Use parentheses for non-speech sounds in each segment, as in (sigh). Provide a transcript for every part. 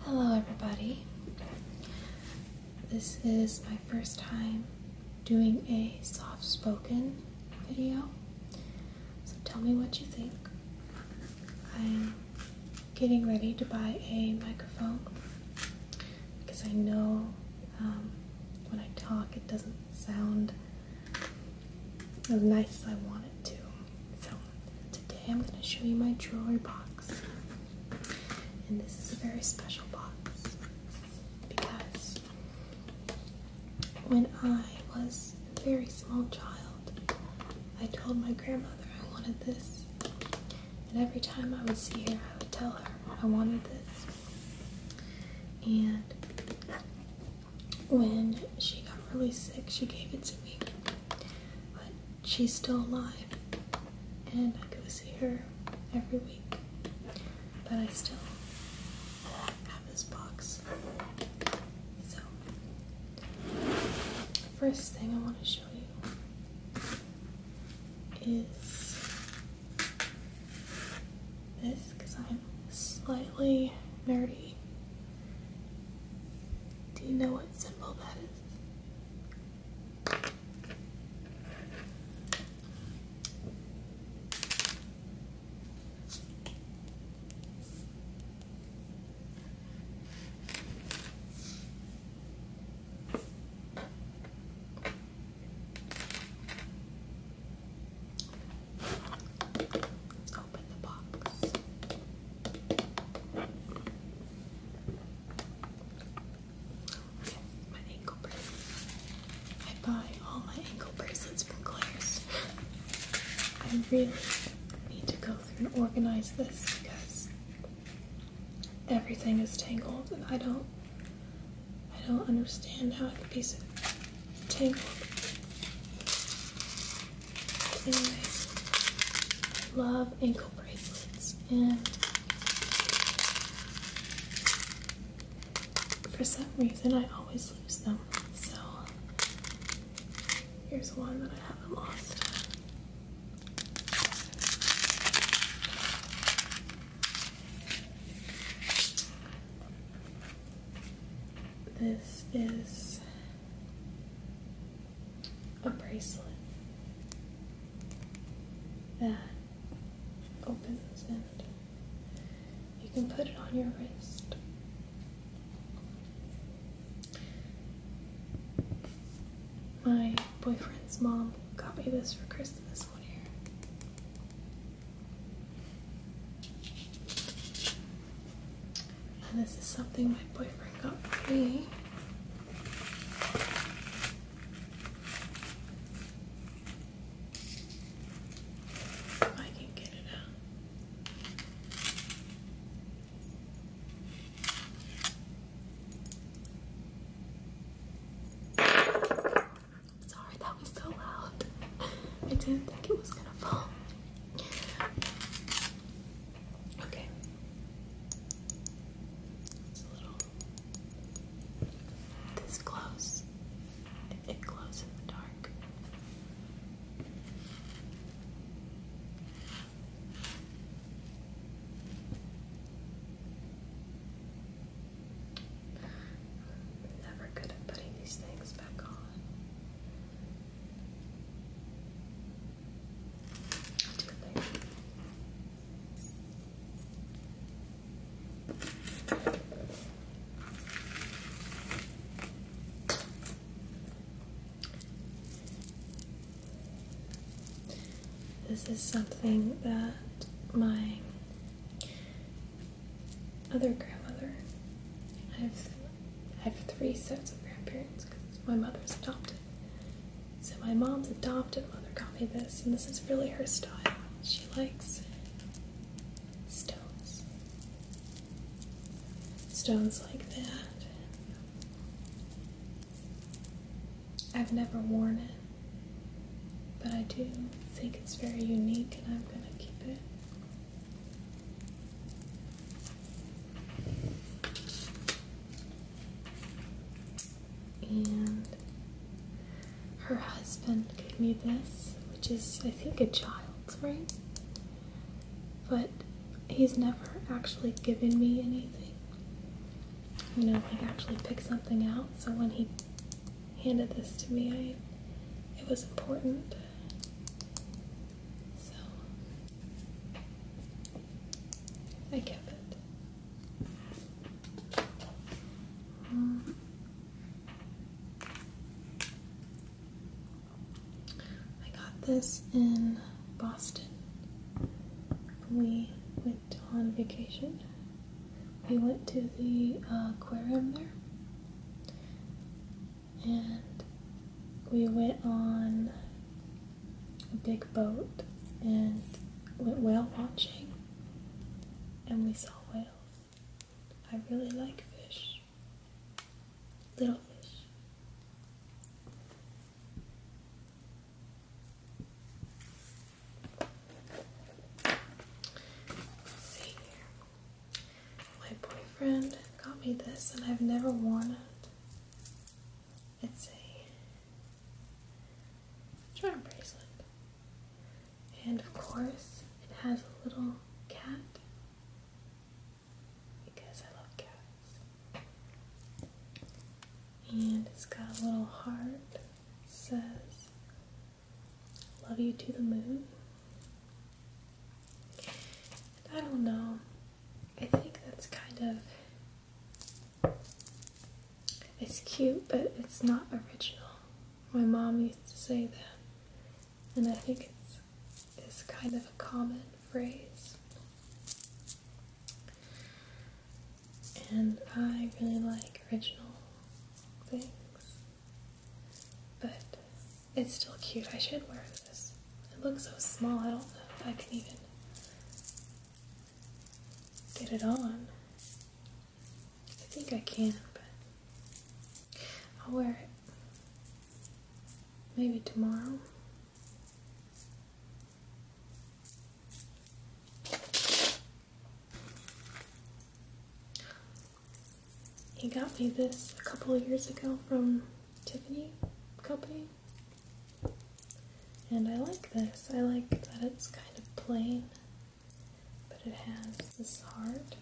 Hello, everybody. This is my first time doing a soft spoken video. So tell me what you think. I'm getting ready to buy a microphone because I know um, when I talk it doesn't sound as nice as I want it to. So today I'm going to show you my jewelry box. And this is a very special box because when I was a very small child, I told my grandmother I wanted this. And every time I would see her, I would tell her I wanted this. And when she got really sick, she gave it to me she's still alive, and I go see her every week. But I still have this box. So, first thing I want to show you is this because I'm slightly nerdy. Do you know what what symbol is. Let's open the box. I buy all my ankle bracelets from Claire's. I really need to go through and organize this because everything is tangled and I don't I don't understand how I can piece it tangled. Anyway, love ankle bracelets. And for some reason, I always lose them. So here's one that I haven't lost. This is a bracelet that opens and you can put it on your wrist. My boyfriend's mom got me this for Christmas one year. And this is something my boyfriend got for me. I can get it out. sorry, that was so loud. (laughs) I didn't think it was gonna fall. Okay. It's a little this glows. It glows in the dark. I'm never good at putting these things back on. This is something that my other grandmother, i I have three sets of grandparents because my mother's adopted. So my mom's adopted mother got me this, and this is really her style. She likes stones. Stones like that. I've never worn it, but I do think it's very unique and I'm gonna keep it. And her husband gave me this, which is, I think, a child's ring. But he's never actually given me anything. You know, like actually pick something out. So when he handed this to me, it was important. So I kept it. I got this in Boston. We went on vacation. We went to the uh, aquarium there and we went on a big boat and went whale watching and we saw whales. I really like fish. Little fish. Let's see my boyfriend got me this and I've never worn it. It's a charm bracelet. And of course, it has a little cat because I love cats. And it's got a little heart. It says, Love you to the moon. I don't know. I think that's kind of. It's cute, but it's not original. My mom used to say that, and I think it's, it's kind of a common phrase. And I really like original things. But it's still cute. I should wear this. It looks so small, I don't know if I can even get it on. I think I can, but I'll wear it maybe tomorrow. He got me this a couple of years ago from Tiffany Company. And I like this. I like that it's kind of plain, but it has this heart.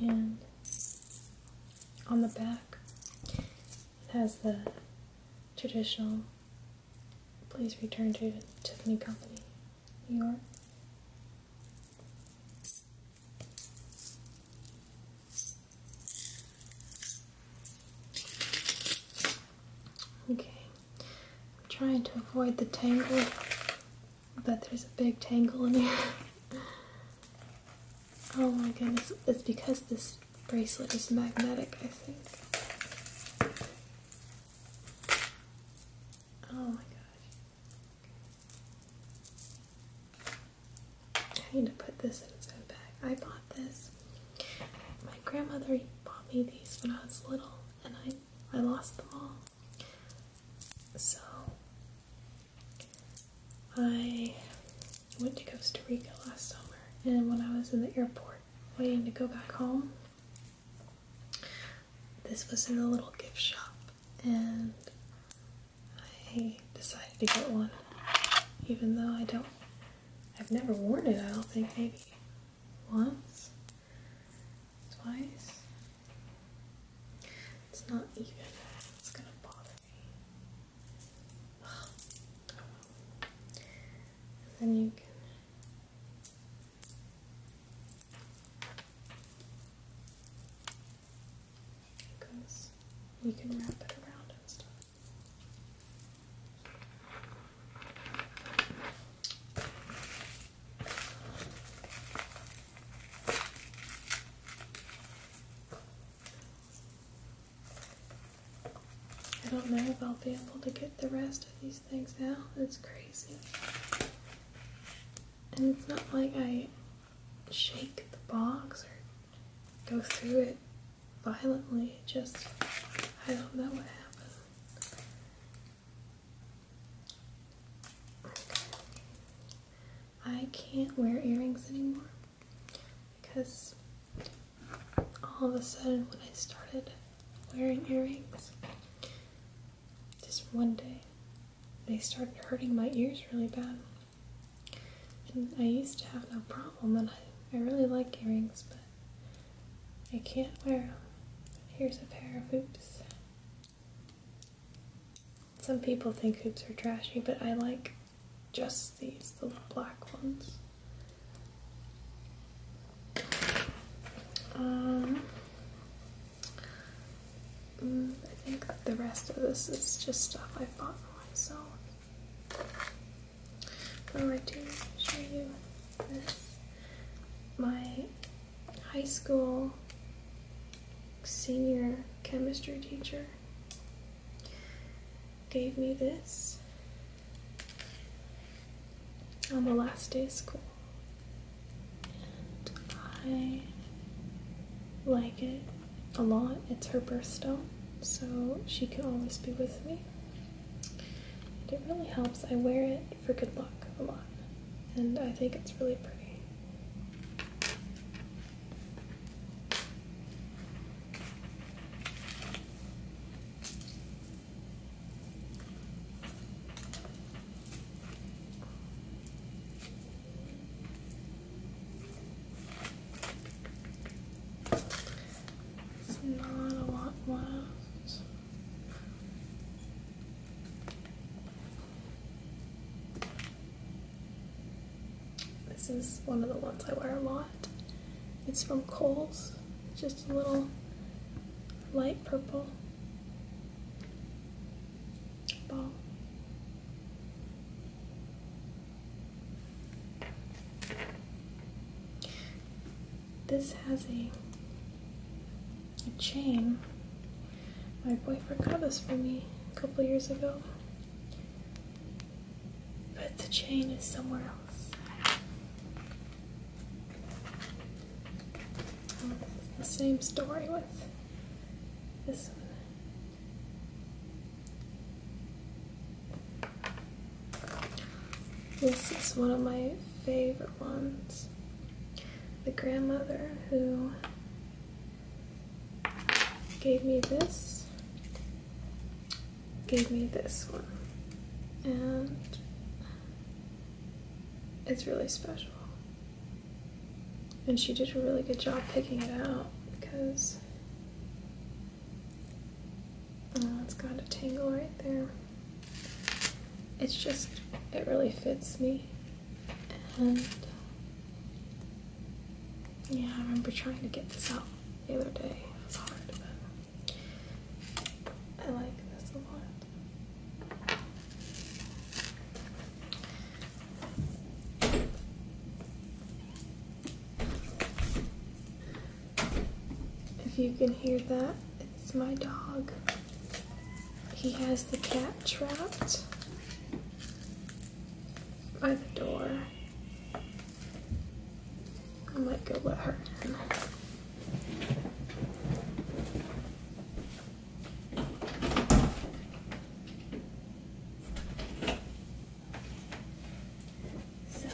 And on the back, it has the traditional please return to Tiffany Company Okay, I'm trying to avoid the tangle, but there's a big tangle in here. (laughs) oh my goodness, it's because this bracelet is magnetic, I think. Oh my gosh. I need to put this in its own bag. I bought this. My grandmother bought me these when I was little and I, I lost them all. So I went to Costa Rica last summer and when I was in the airport waiting to go back home, this was in a little gift shop, and I decided to get one, even though I don't, I've never worn it, I don't think, maybe once, twice. It's not even, it's gonna bother me. then you can because you can wrap it around and stuff. I don't know if I'll be able to get the rest these things now. It's crazy. And it's not like I shake the box or go through it violently. just, I don't know what happens. I can't wear earrings anymore because all of a sudden when I started wearing earrings, just one day, they started hurting my ears really bad. And I used to have no problem, and I, I really like earrings, but I can't wear them. Here's a pair of hoops. Some people think hoops are trashy, but I like just these, the black ones. Um, mm, I think the rest of this is just stuff I bought for myself. Oh, I'm going to show you this. My high school senior chemistry teacher gave me this on the last day of school. And I like it a lot. It's her birthstone, so she can always be with me. And it really helps. I wear it for good luck a lot, and I think it's really pretty. It's not a lot left. This is one of the ones I wear a lot. It's from Kohl's, just a little light purple ball. This has a chain. My boyfriend got this for me a couple years ago. But the chain is somewhere else. The same story with this one. This is one of my favorite ones. The grandmother who gave me this gave me this one. And it's really special. And she did a really good job picking it out because oh, it's got a tangle right there. It's just, it really fits me. And yeah, I remember trying to get this out the other day. It was hard, but I like this a lot. If you can hear that, it's my dog. He has the cat trapped by the door. I might go let her in. So,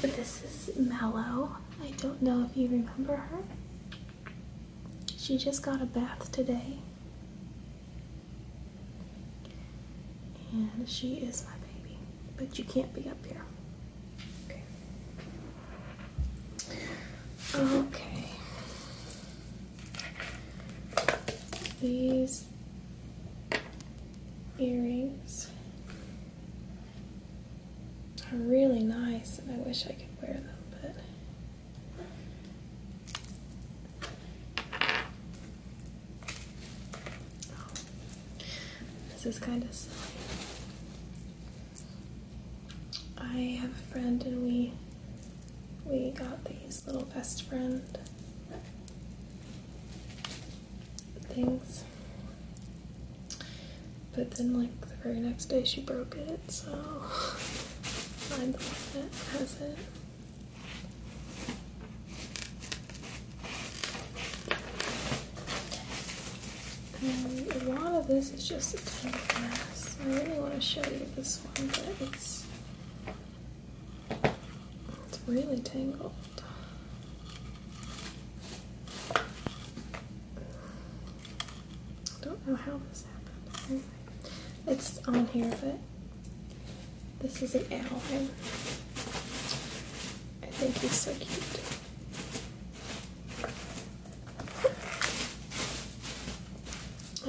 this is Mallow. I don't know if you remember her. She just got a bath today. And she is my baby, but you can't be up here. Okay. These earrings are really nice, and I wish I could wear them, but this is kind of silly. I have a friend, and we we got these little best friend things. But then, like the very next day, she broke it, so (laughs) I'm the one that has it a lot of this is just a tangled mess. I really want to show you this one, but it's it's really tangled. I don't know how this happened. It's on here, but this is an owl. I think he's so cute.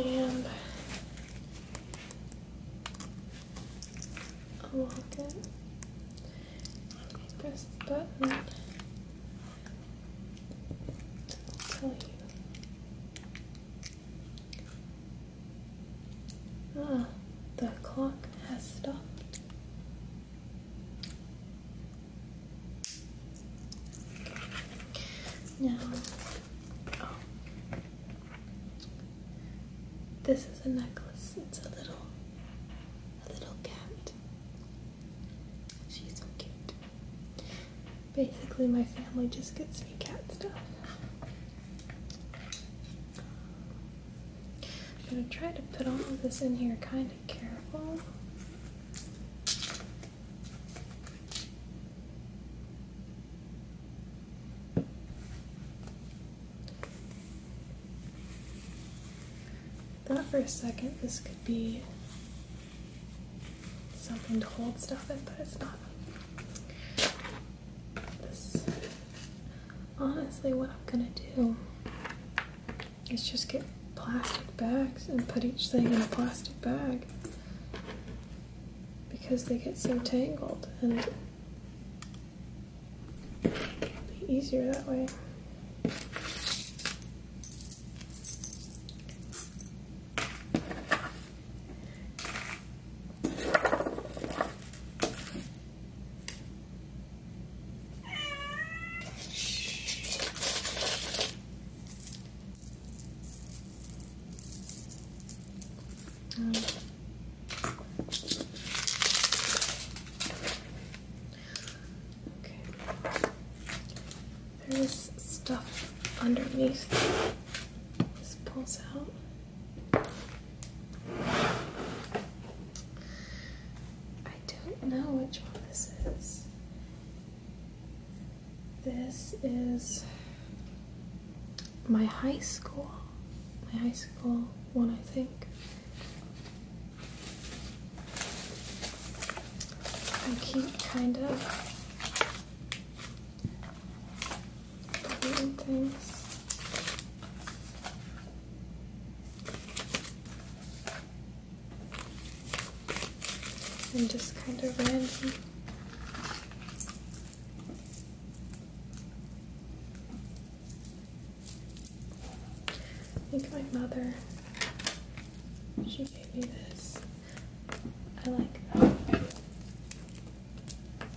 And a locket. Press the button. tell you. Ah, the clock has stopped. Now, oh, this is a necklace. It's a little, a little cat. She's so cute. Basically, my family just gets me cat stuff. I'm going to try to put all of this in here kind of careful. Thought for a second this could be something to hold stuff in, but it's not. Honestly, what I'm gonna do is just get plastic bags and put each thing in a plastic bag because they get so tangled and be easier that way. There's stuff underneath. This pulls out. I don't know which one this is. This is my high school. My high school one, I think. I keep kind of things. And just kind of random. I think my mother, she gave me this. I like that.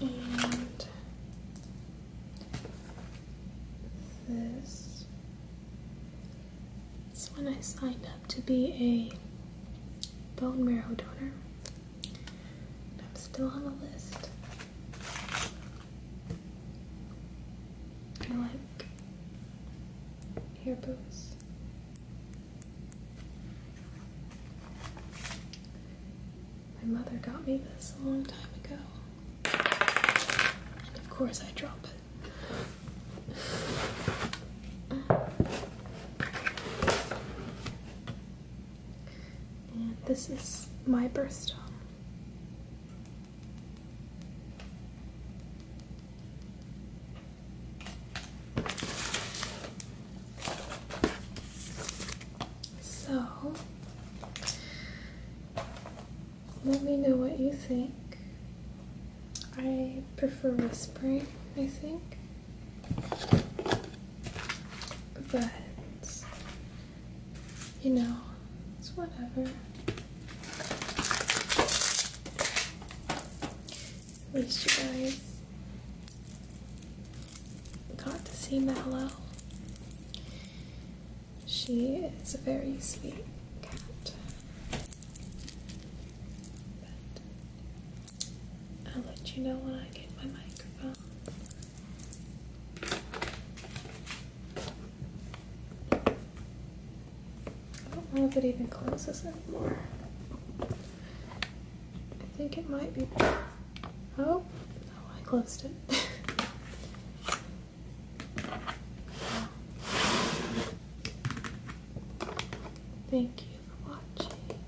And this is when I signed up to be a bone marrow donor. I'm still on the list. I like hair bows. My mother got me this a long time ago. And of course I drop it. And this is my birthstone. So, let me know what you think. I prefer whispering, I think. But, you know, it's whatever. At least you guys got to see Mallow. She is a very sweet cat. I'll let you know when I get my microphone. I don't know if it even closes anymore. I think it might be. Oh, I closed it. (laughs) Thank you for watching.